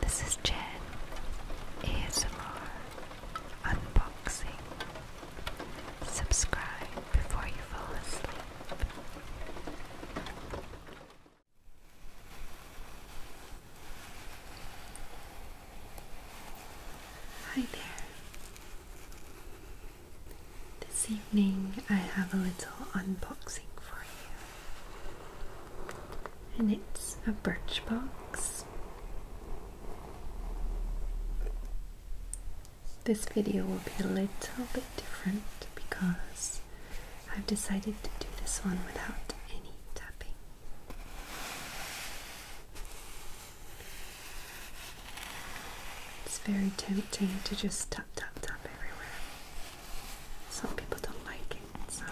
This is Jen ASMR Unboxing. Subscribe before you fall asleep. Hi there. This evening I have a little unboxing for you and it's a birch box. This video will be a little bit different because I've decided to do this one without any tapping. It's very tempting to just tap, tap, tap everywhere. Some people don't like it, so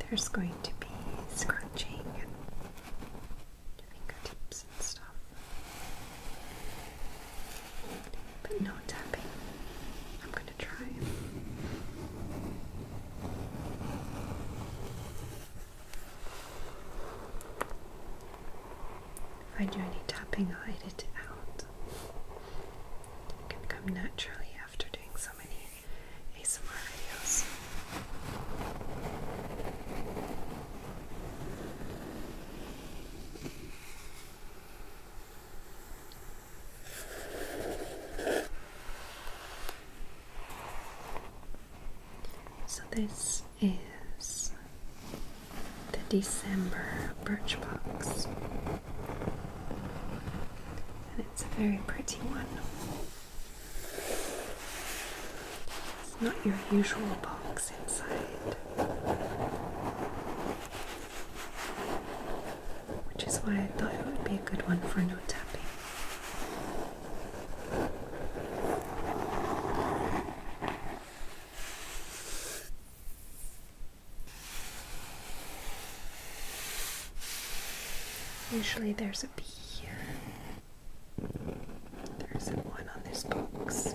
there's going to be scratching and fingertips and stuff. But no tapping. I'm going to try. If I do any tapping, I'll edit it out. It can come naturally after doing so many ASMR videos. So, this is the December birch box, And it's a very pretty one. It's not your usual box inside, which is why I thought it would be a good one for no tapping. Usually there's a bee here. There isn't one on this box.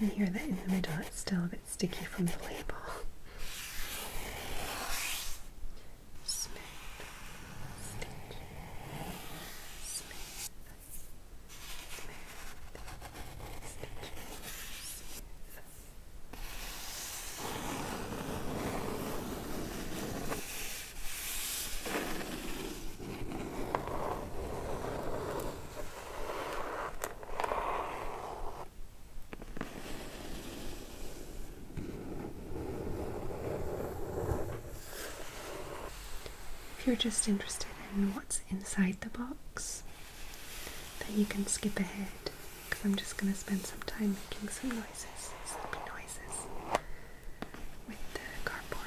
You can hear that in the middle, it's still a bit sticky from the label. If you're just interested in what's inside the box, then you can skip ahead because I'm just going to spend some time making some noises, sleepy noises, with the cardboard.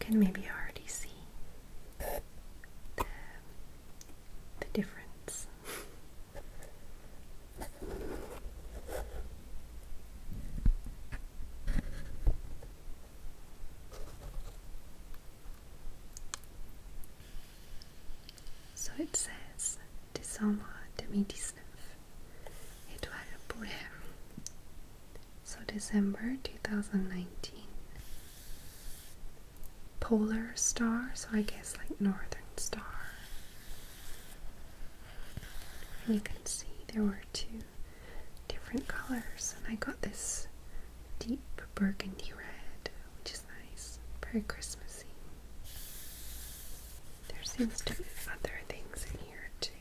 can maybe already see the, difference. So it says décembre 2019 Étoile polaire. So December 2019 polar star, so I guess like northern star. you can see there were two different colors, and I got this deep burgundy red, which is nice, very Christmassy. There seems to be other things in here too.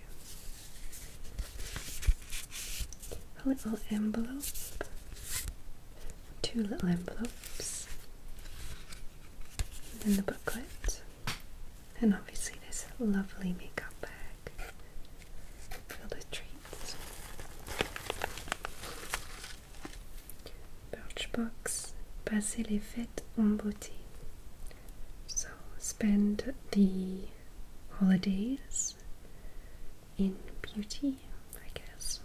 A little envelope two little envelopes, and the booklet, and obviously this lovely makeup bag filled with treats. Birchbox, passer les fêtes en beauté. So spend the holidays in beauty, I guess.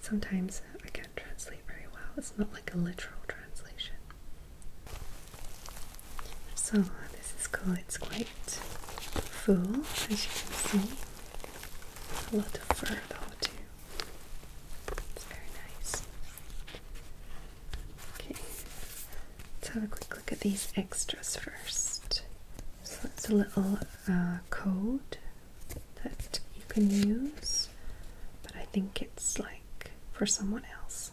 Sometimes I can't translate very well, it's not like a literal translation. So, this is cool, it's quite full as you can see. A lot of fur though, too. It's very nice. Okay, let's have a quick look at these extras first. So that's a little uh, code that you can use, but I think it's like for someone else.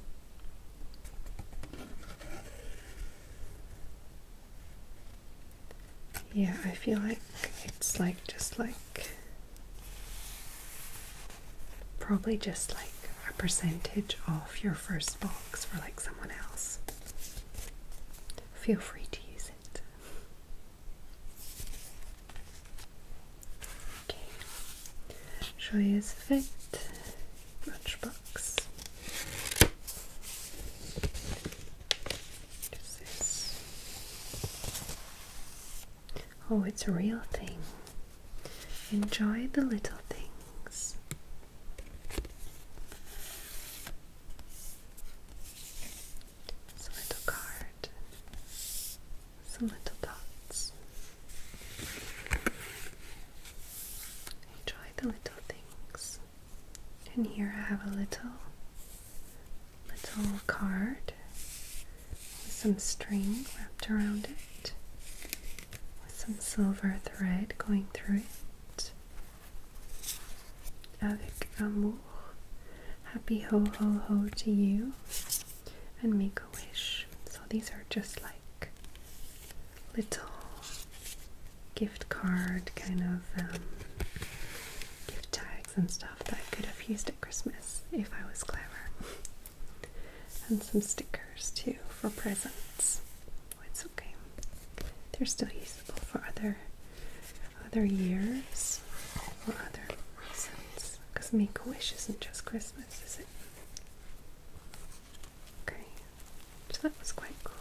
Yeah, I feel like it's like just like probably just like a percentage off your first box for like someone else feel free to use it. Okay, Joyeuse Fête lunchbox. Oh, it's a real thing. Enjoy the little things. It's little card. Some little dots. Enjoy the little things. And here I have a little little card with some string wrapped around it with some silver thread going through it. Avec amour. Happy ho ho ho to you. And make a wish. So these are just like little gift card kind of um, gift tags and stuff that I could have used at Christmas if I was clever. and some stickers too for presents. Oh, it's okay. They're still usable for other other years or other reasons. Because make a wish isn't just Christmas, is it? Okay. So that was quite cool.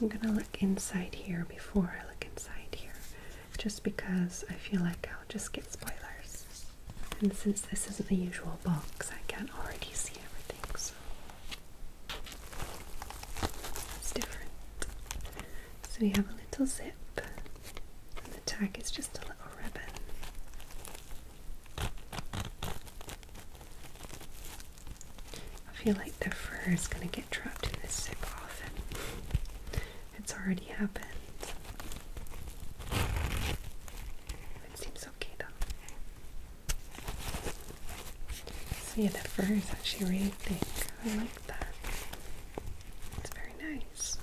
I'm gonna look inside here before I look inside here just because I feel like I'll just get spoilers. And since this isn't the usual box, I can already see everything, so it's different. So we have a little zip, and the tag is just a little ribbon. I feel like the fur is going to get trapped in this super often. It's already happened. It seems okay though. See, yeah, the fur is actually really thick. I like that. It's very nice.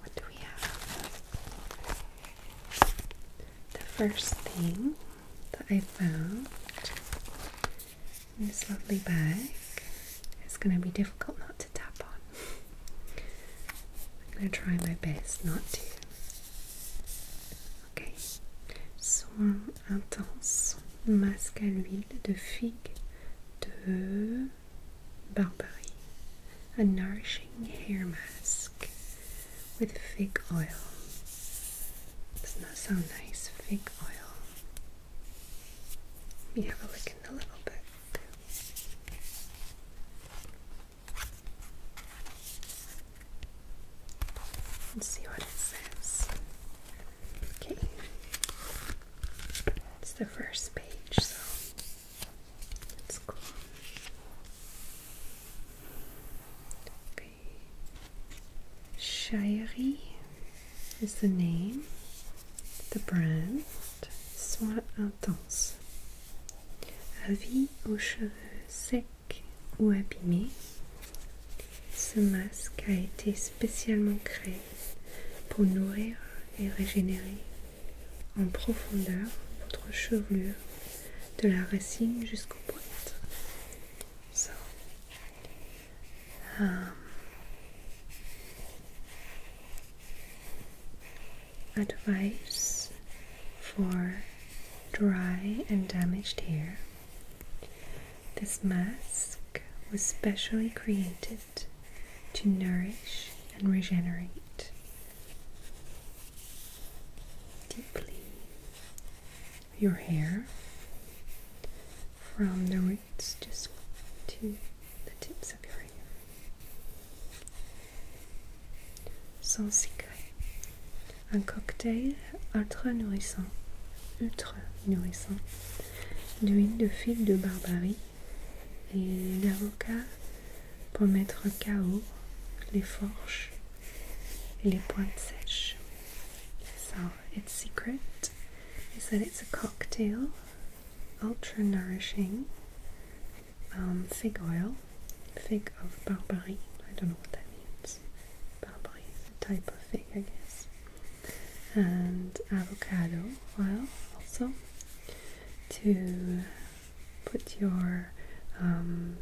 What do we have? The first thing that I found in this lovely bag its going to be difficult not to tap on. I'm going to try my best not to. Okay. Soin intense, masque à de figue de Barbarie a nourishing hair mask with fig oil. Doesn't that sound nice? Fig oil. Let me have a look in the little bit. Let's see what it says. Okay. It's the first page, so Let's is the name, the brand. intense. A vie aux cheveux secs ou abîmés. Ce masque a été spécialement créé pour nourrir et régénérer en profondeur votre chevelure de la racine jusqu'aux pointes. Ah. advice for dry and damaged hair. This mask was specially created to nourish and regenerate deeply your hair from the roots just to the tips of your hair. Sans secret, un cocktail ultra nourrissant, ultra nourrissant, d'huile de fil de barbarie et d'avocat pour mettre KO les forges et les pointes sèches. So, its secret is that it's a cocktail, ultra nourishing um, fig oil, fig of Barbary. I don't know what that means. Barbary, a type of fig, I guess. And avocado oil also to put your um,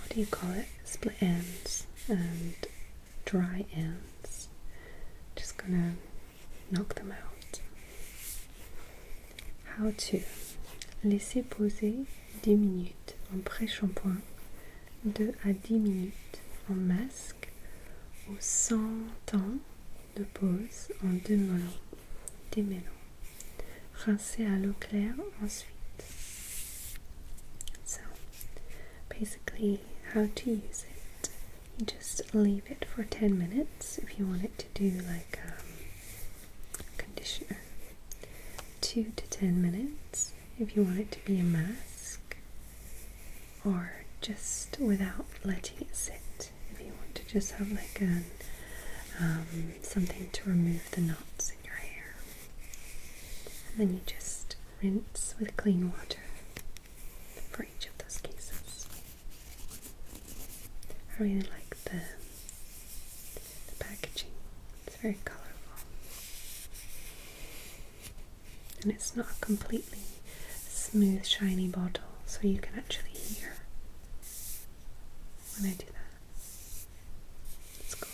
what do you call it? Split ends and dry ends. Just gonna knock them out. How to Laissez poser 10 minutes en pré-shampoing, 2 à 10 minutes en masque ou 100 temps de pose en deux mollons. démêlons. Rincez à l'eau claire ensuite. So, basically, how to use it. You just leave it for 10 minutes if you want it to do like um, conditioner. 2 to 10 minutes if you want it to be a mask or just without letting it sit if you want to just have like an, um, something to remove the knots in your hair. And then you just rinse with clean water for each of those cases. I really like the, the packaging, it's very colourful. And it's not a completely smooth, shiny bottle, so you can actually hear when I do that. Let's go.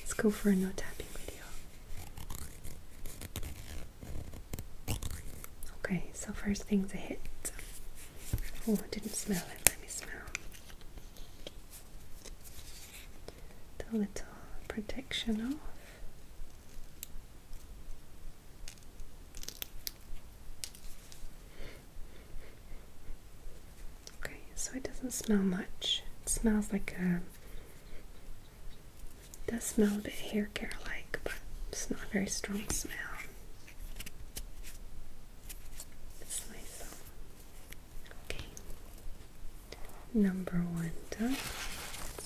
Let's go for a no tapping video. Okay, so first thing's a hit. Oh, I didn't smell it. Let me smell. The little protection off. Okay, so it doesn't smell much. It smells like a. does smell a bit hair care like, but it's not a very strong smell. Okay. Number one done.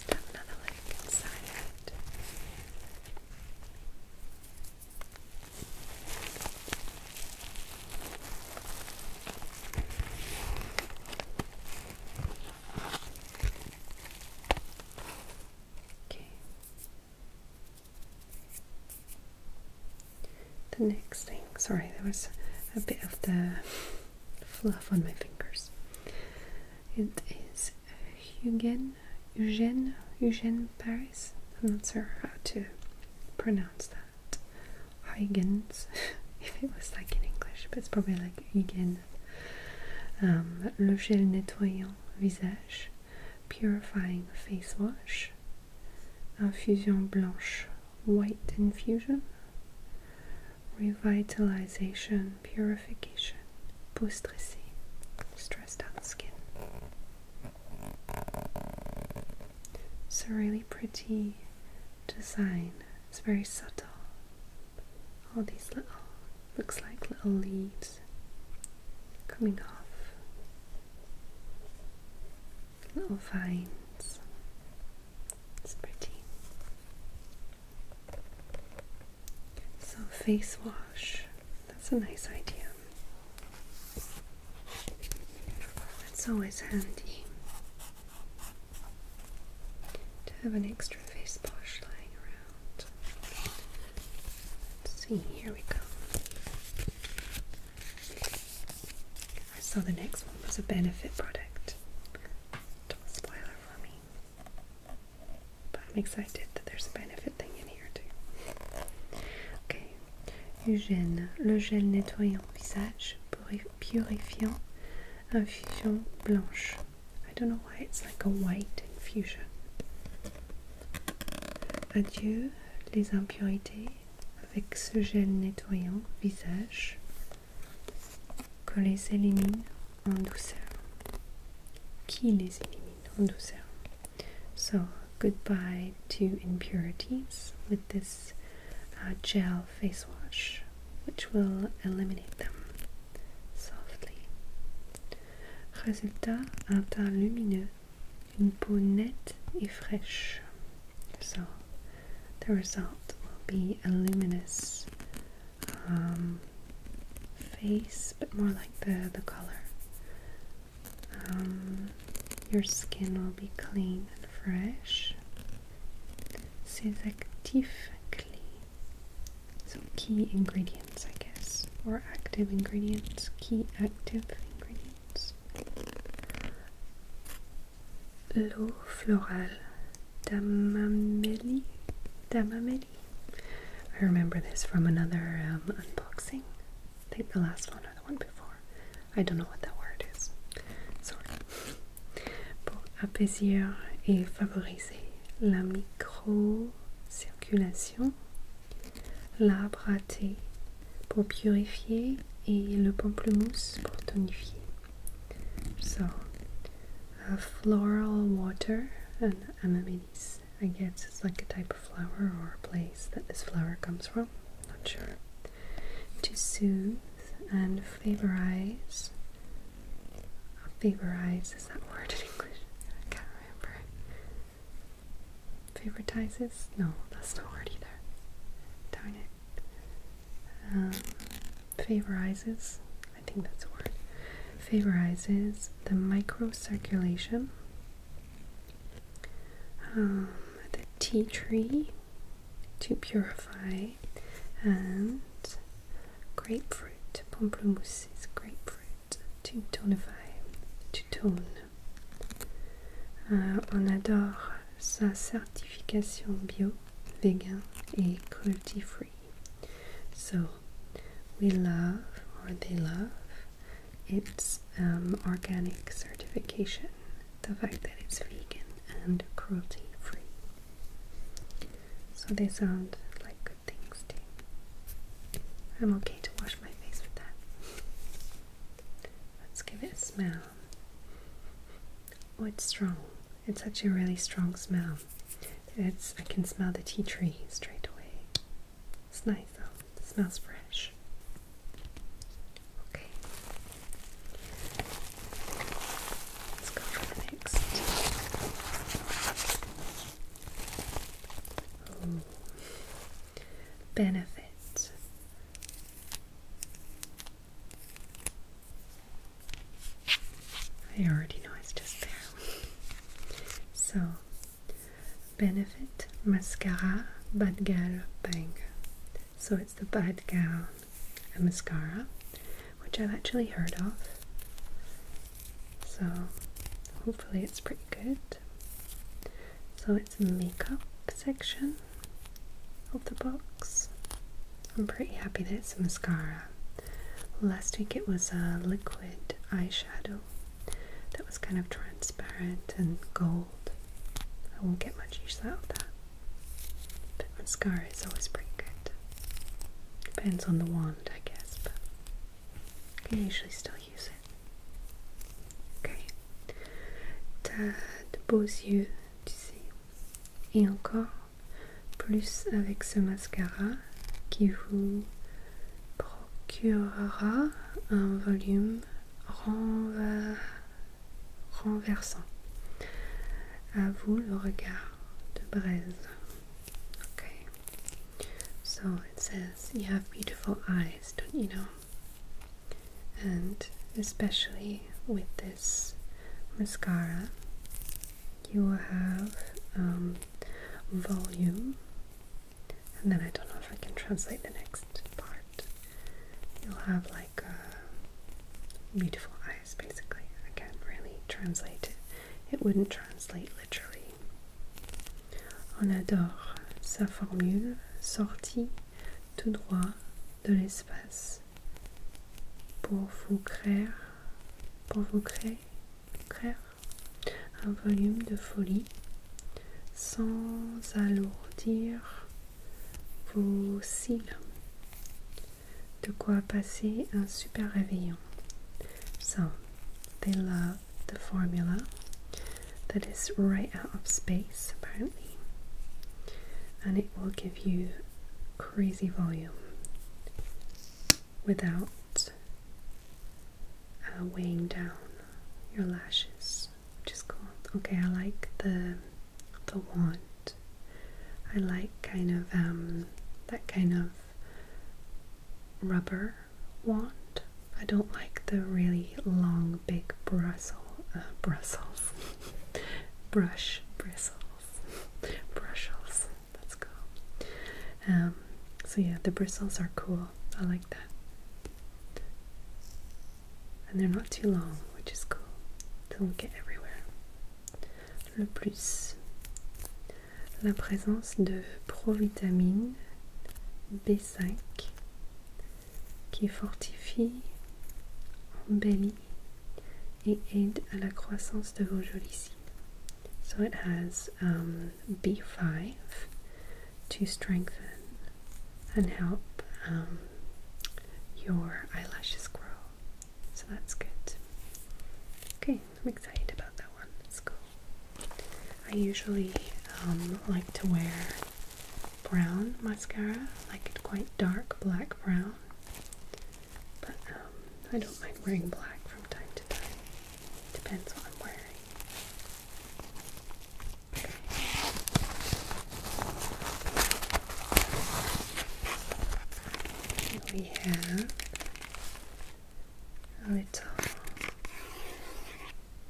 another leg inside. The next thing, sorry, there was a bit of the fluff on my fingers. It is Eugen, Eugène, Eugène Paris. I'm not sure how to pronounce that. Huygens, if it was like in English, but it's probably like Huygen. Um, le gel nettoyant visage, purifying face wash, infusion blanche, white infusion, revitalization, purification application, boost stressed out skin. It's a really pretty design. It's very subtle. All these little, looks like little leaves coming off. Little vines. It's pretty. So, face wash that's a nice idea. It's always handy to have an extra face brush lying around. see, here we go. I saw the next one was a benefit product. Top spoiler for me. But I'm excited that there's a benefit thing in here too. Okay. Eugène, le gel nettoyant visage purifiant infusion blanche. I don't know why it's like a white infusion. Adieu les impurités avec ce gel nettoyant visage que les élimine en douceur. Qui les élimine en douceur So, goodbye to impurities with this uh, gel face wash, which will eliminate them softly. Résultat, un teint lumineux, une peau nette et So, the result will be a luminous um, face, but more like the, the color. Um, your skin will be clean and fresh. Ses So key ingredients, I guess, or active ingredients, key active ingredients. L'eau florale d'amamélie, d'amamélie, I remember this from another um, unboxing. I think the last one or the one before. I don't know what that word is. Sorry. Pour apaiser et favoriser la microcirculation, l'arbre pour purifier et le pamplemousse pour tonifier. So, uh, floral water and amenities I guess it's like a type of flower or a place that this flower comes from. Not sure. To soothe and favorize. Oh, uh, favorize is that word in English? I can't remember. Favoritizes? No, that's not a word either. Darn it. Um, favorizes. I think that's a word. Favorizes the microcirculation, um, the tea tree to purify, and grapefruit. Pamplemousse is grapefruit to tonify, to tone. Uh, on adore sa certification bio, vegan et cruelty free. So we love, or they love, its um, organic certification, the fact that it's vegan and cruelty free. So they sound like good things too. I'm okay to wash my face with that. Let's give it a smell. Oh, it's strong. It's such a really strong smell. It's I can smell the tea tree straight away. It's nice though. It smells fresh. Okay. Let's go for the next. Ooh. I already know it's just there. So Benefit Mascara Bad Girl Bang. So it's the Bad Girl mascara, which I've actually heard of. So hopefully it's pretty good. So it's makeup section of the box. I'm pretty happy that it's mascara. Last week it was a liquid eyeshadow that was kind of transparent and gold. I won't get much use out of that. But mascara is always pretty good. Depends on the wand, I guess, but I can usually still use it. Okay. T'as de beaux yeux, tu sais. Et encore plus avec ce mascara, qui vous procurera un volume renversant. À vous le regard de braise. Okay. So it says you have beautiful eyes, don't you know? And especially with this mascara, you will have um, volume and then I don't know if I can translate the next part. You'll have like uh, beautiful eyes, basically. I can't really translate it. It wouldn't translate literally. On adore sa formule sortie tout droit de l'espace pour vous créer, pour vous créer Créer un volume de folie sans alourdir vos cils. De quoi passer un super réveillon. So, they love the formula that is right out of space, apparently, and it will give you crazy volume. without uh, weighing down your lashes, which is cool. Okay, I like the the wand. I like kind of um, that kind of rubber wand. I don't like the really long, big bristle, uh, bristles, brush bristles, brushes. That's cool. Um, so yeah, the bristles are cool. I like that. And they're not too long, which is cool. They don't get everywhere. Le plus. La présence de provitamine B5 qui fortifie, embellit et aide à la croissance de vos jolies cils. So it has um, B5 to strengthen and help um, your eyelashes grow. So that's good. Okay, I'm excited about that one. That's cool. I usually um, like to wear brown mascara, like quite dark black brown. But I don't mind wearing black from time to time. Depends what I'm wearing. Okay. we have a little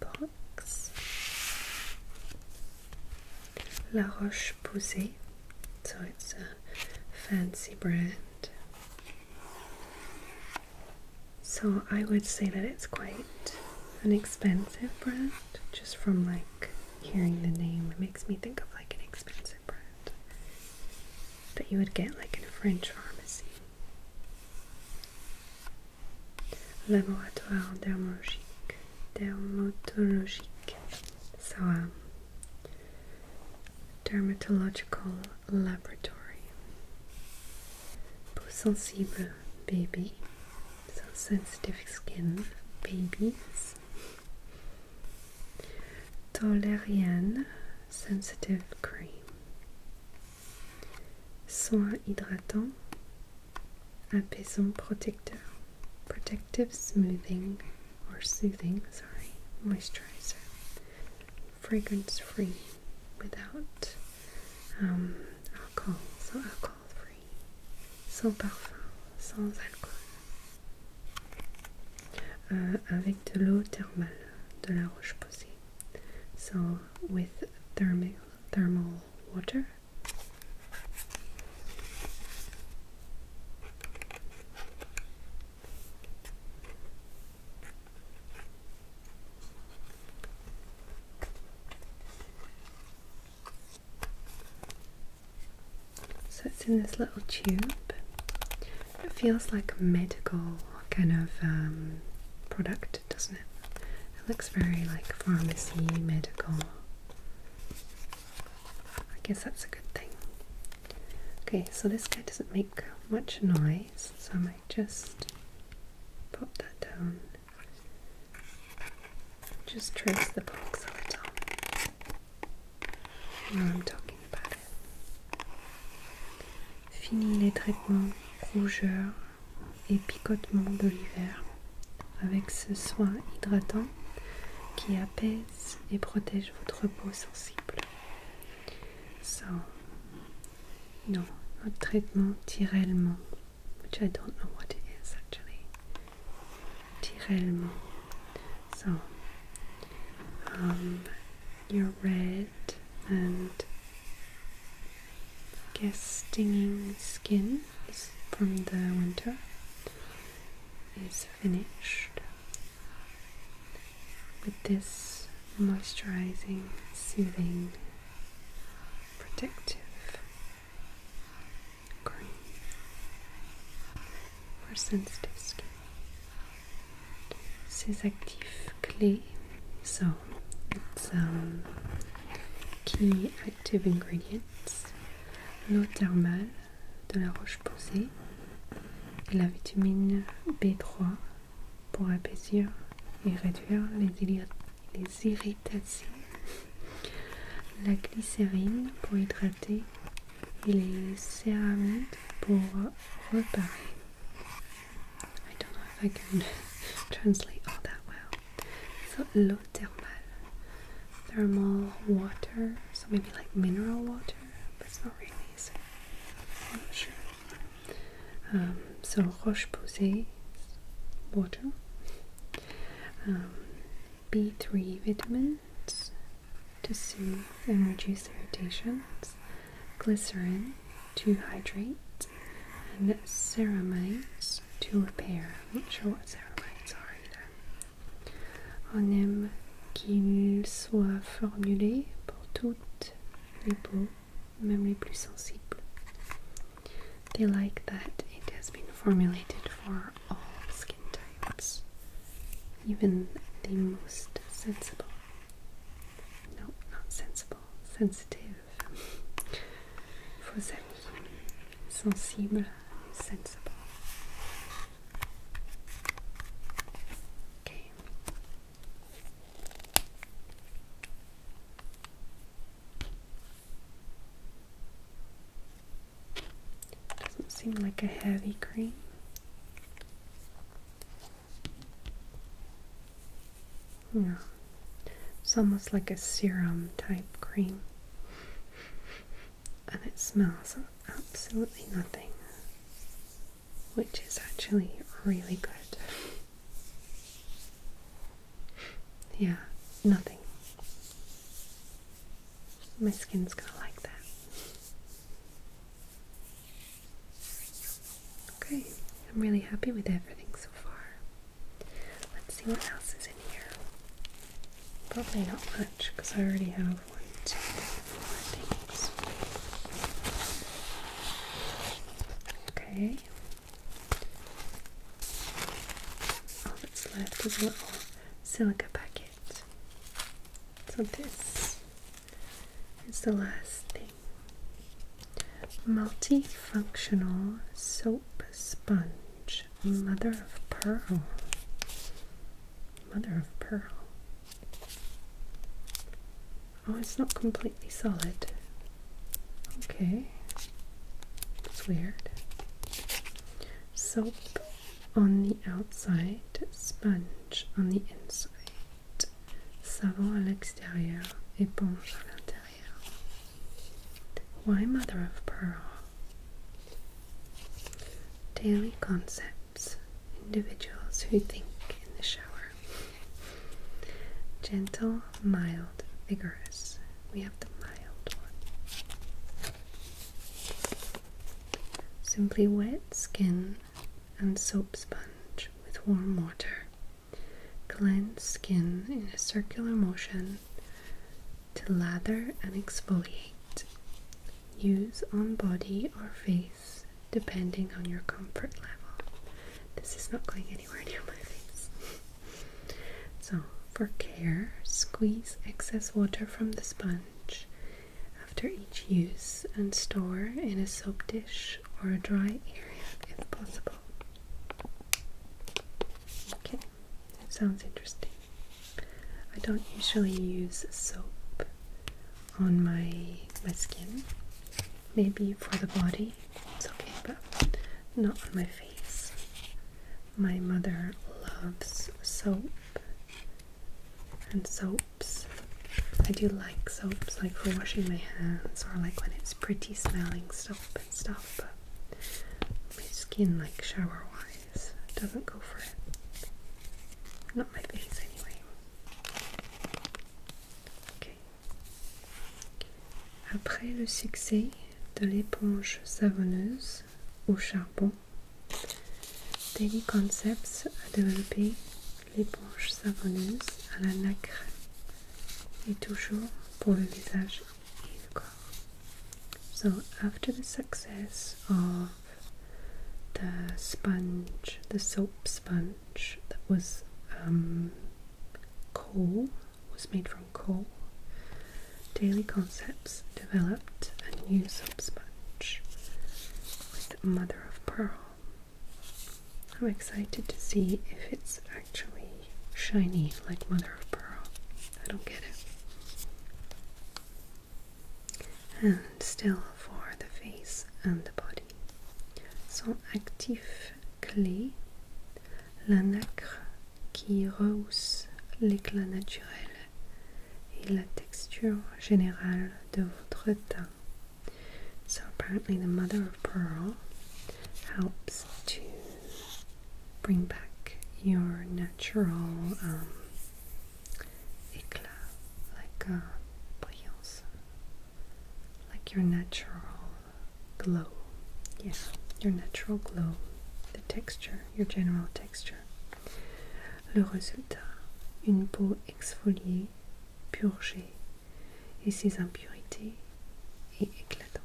box. La Roche Posay, so it's a fancy brand. So I would say that it's quite an expensive brand. Just from like hearing the name, it makes me think of like an expensive brand that you would get like in a French pharmacy. Laboratoire dermatologique, dermatologique. So um, dermatological laboratory. Peau sensible baby, so sensitive skin babies. Tolerian sensitive cream. Soin hydratant, apaisant protecteur, protective smoothing or soothing, sorry, moisturizer, fragrance free without um, alcohol, so alcohol free, so without, sans alcool, uh, avec de l'eau thermale, de la roche posée. So with thermal, thermal water. So it's in this little tube. It feels like a medical kind of um, product, doesn't it? It looks very like pharmacy, medical. I guess that's a good thing. Okay, so this guy doesn't make much noise, so I might just pop that down. Just trace the box a little I'm talking about it. Fini les traitements, rougeurs et picotements de l'hiver avec ce soin hydratant qui apaise et protège votre peau sensible. So, no, not traitement, tiraillement, which I don't know what it is actually. Tiraillement. So, um, you're red and I guess stinging skin from the winter is finished with this moisturizing, soothing, protective cream for sensitive skin. This is active clay, so it's um, key active ingredients. L'eau thermale de la roche la vitamine B3 pour apaiser et réduire les, irritations. La glycérine pour hydrater et les céramides pour reparer. I don't know if I can translate all that well. So l'eau thermale, thermal water, so maybe like mineral water, but it's not really. So Um, so roche posay water. Um, B3 vitamins to soothe and reduce irritations, glycerin to hydrate, and ceramides to repair. not sure what ceramides are either. On aime qu'il soit formulé pour tous they like that it has been formulated for all skin types, even the most sensible. No, not sensible, sensitive. Vos amis, sensible, sensible. Okay, doesn't seem like a heavy cream. No, it's almost like a serum type cream, and it smells absolutely nothing which is actually really good. yeah, nothing. My skin's gonna like that. Okay, I'm really happy with everything so far. Let's see what else is in here. Probably not much because I already have one, two, three, four things. Okay. All that's left is a little silica packet. So this is the last thing. Multifunctional soap sponge, mother of pearl. Mother of pearl. Oh, it's not completely solid. Okay. It's weird. Soap on the outside, sponge on the inside. Savon à l'extérieur, éponge à l'intérieur. Why mother of pearl? Daily concepts, individuals who think in the shower. Gentle, mild, vigorous. We have the mild one. Simply wet skin and soap sponge with warm water. Cleanse skin in a circular motion to lather and exfoliate. Use on body or face depending on your comfort level. This is not going anywhere near my face. so, for care, squeeze excess water from the sponge after each use and store in a soap dish or a dry area if possible. Okay, sounds interesting. I don't usually use soap on my my skin. Maybe for the body, it's okay, but not on my face. My mother loves soap and soaps. I do like soaps, like for washing my hands or like when it's pretty smelling soap and stuff, but my skin, like shower wise, doesn't go for it. Not my face, anyway. Après le succès de l'éponge savonneuse au charbon, Daily Concepts a développé l'éponge savonneuse à la nacre et toujours pour le visage et le corps. So after the success of the sponge, the soap sponge that was um, coal, was made from coal. Daily Concepts developed a new soap sponge with mother of pearl. I'm excited to see if it's actually shiny like mother of pearl. I don't get it and still for the face and the body. So actifs clés la nacre qui rehausse l'éclat naturel et la texture générale de votre teint. So apparently the mother of pearl helps to bring back your natural um, éclat, like a brillance, like your natural glow. Yeah, your natural glow, the texture, your general texture. Le résultat, une peau exfoliée, purgée, et ses impurités et éclatante.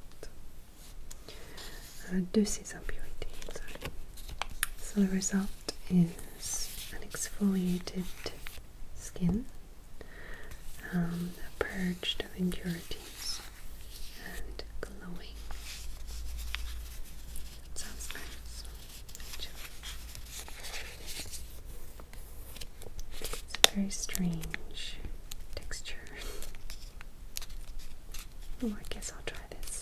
de ses impurités. Sorry. So the result is is an exfoliated skin, um, purged of impurities and glowing. sounds nice. It's a very strange texture. Oh, I guess I'll try this.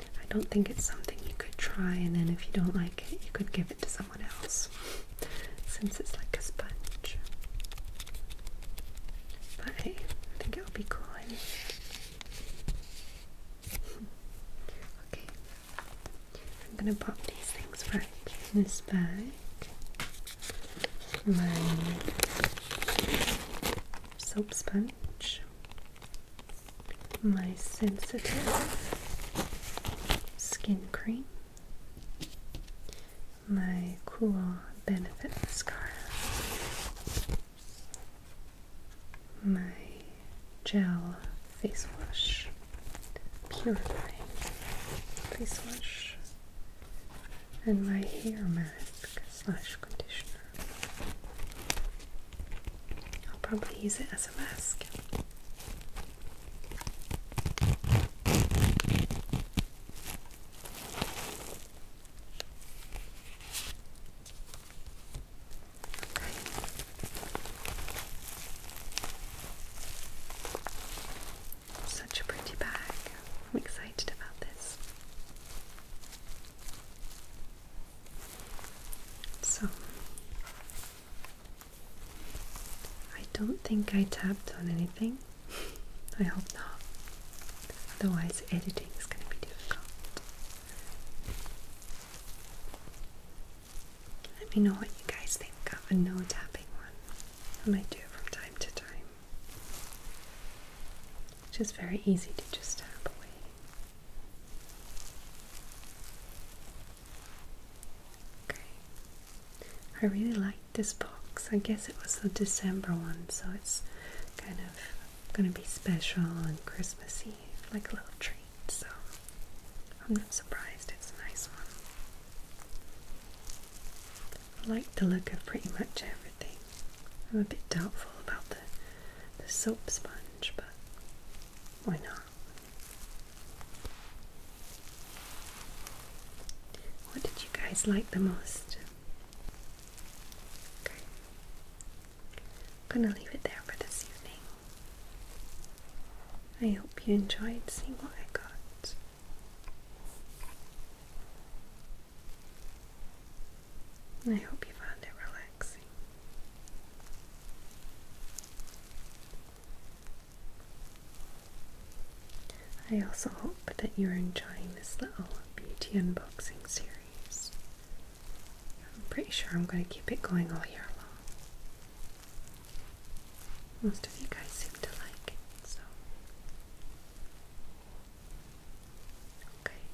I don't think it's something you could try, and then if you don't like it, you could give it to someone else since it's like a sponge. But hey, I think it'll be cool okay, I'm gonna pop these things back in this bag. My soap sponge my sensitive skin cream, my cool benefit mascara, my gel face wash, purifying face wash, and my hair mask slash conditioner. I'll probably use it as a mask. Such a pretty bag. I'm excited about this. So, I don't think I tapped on anything. I hope not. Otherwise, editing is going to be difficult. Let me know what you guys think of a no tapping one. I might do it from time to time which is very easy to just tap away. Okay, I really like this box. I guess it was the December one, so it's kind of gonna be special and Christmassy, like a little treat. So I'm not surprised. It's a nice one. I like the look of pretty much everything. I'm a bit doubtful about the the soap sponge, but why not? What did you guys like the most? Okay. gonna leave it there for this evening. I hope you enjoyed seeing what I got. I hope you find it relaxing. I also hope that you're enjoying this little beauty unboxing series. I'm pretty sure I'm going to keep it going all year long. Most of you guys seem to like it, so. Okay.